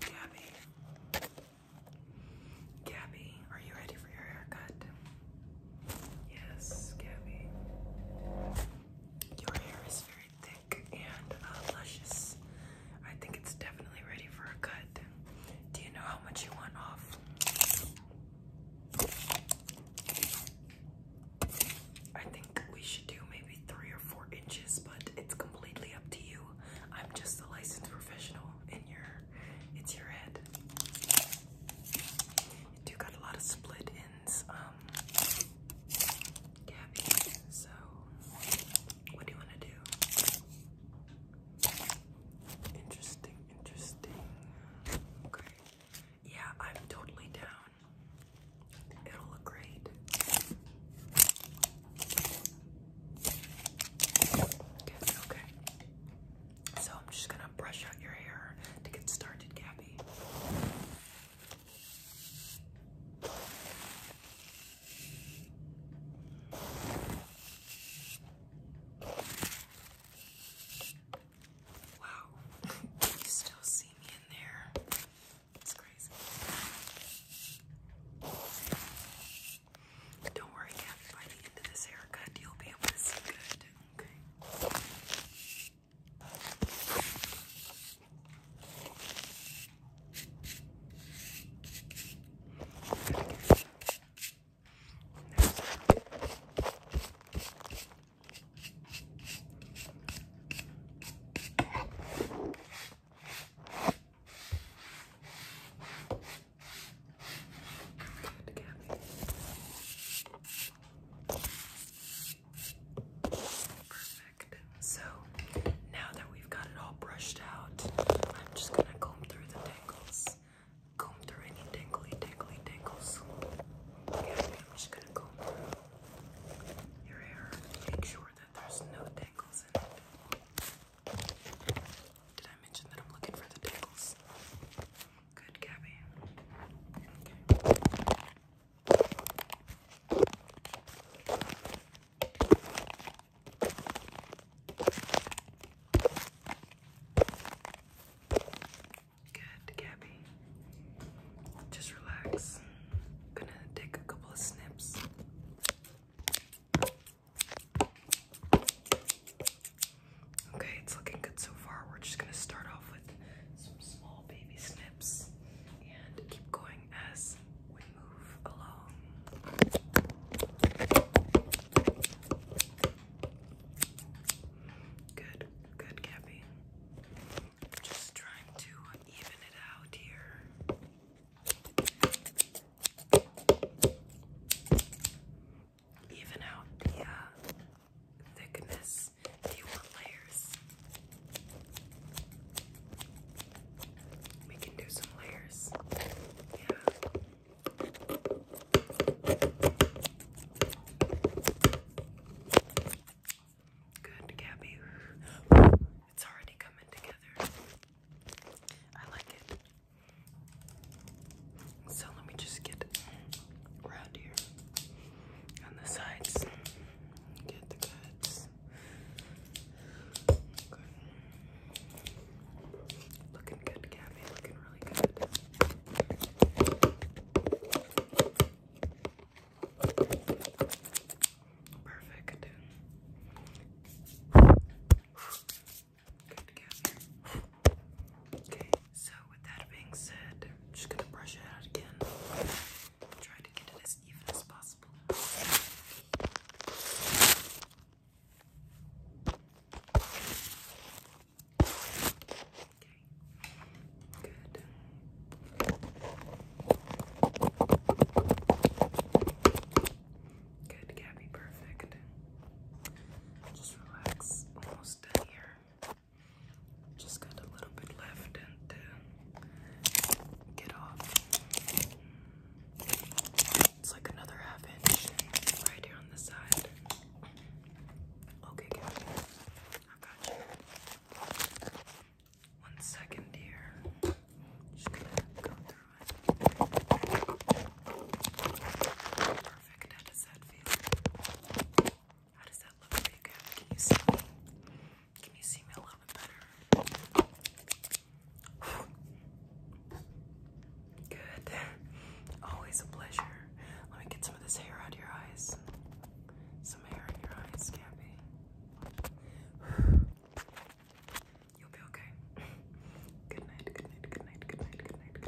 Gabby. Gabby, are you ready for your haircut? Yes, Gabby. Your hair is very thick and uh, luscious. I think it's definitely ready for a cut. Do you know how much you want off? I think we should do maybe three or four inches, but it's completely up to you. I'm just a licensed professional, and your it's your head. You do got a lot of split ends, um, Gabby. So, what do you want to do? Interesting, interesting. Okay. Yeah, I'm totally down. It'll look great. okay. So I'm just gonna brush out your hair to get started, Gabby. Wow, you still see me in there. It's crazy. Don't worry, by the end of this haircut, you'll be able to see good, Okay. Perfect. So now that we've got it all brushed out, I'm just gonna comb through the tangles comb through any tingly, tingly, tingles. Okay, I'm just gonna comb your hair. Make sure that there's no tangles Did I mention that I'm looking for the tangles? Good, Gabby. Okay. Good, Gabby. Just relax. Gonna take a couple of snips. Okay, it's looking good so far. We're just gonna start off with some small baby snips and keep going as as Good, good, Gabby. Just trying to even it out here. Even out the uh, thickness. Do you layers? We can do some layers. Yeah. Good, Gabby. It's already coming together. I like it. So let me just get around here on the sides. Get the goods. Looking good, Gabby. Looking really good. Perfect. Good, Gabby. Okay, so with that being said, just gonna brush it out again. Try to get it as Okay. Good. Good, Gabby, perfect. Just relax. Almost done here. Just got a little bit left and then uh, get off. It's like another half inch right here on the side. Okay, Gabby. I got you. One second here. Just gonna go through it. Perfect. How does that feel? How does that look for Can you see me? Can you see me a little bit better? Good. Always a pleasure. Let me get some of this hair out of your eyes. Some hair in your eyes, Gabby. You'll be okay. good night, good night, good night, good night. Good night.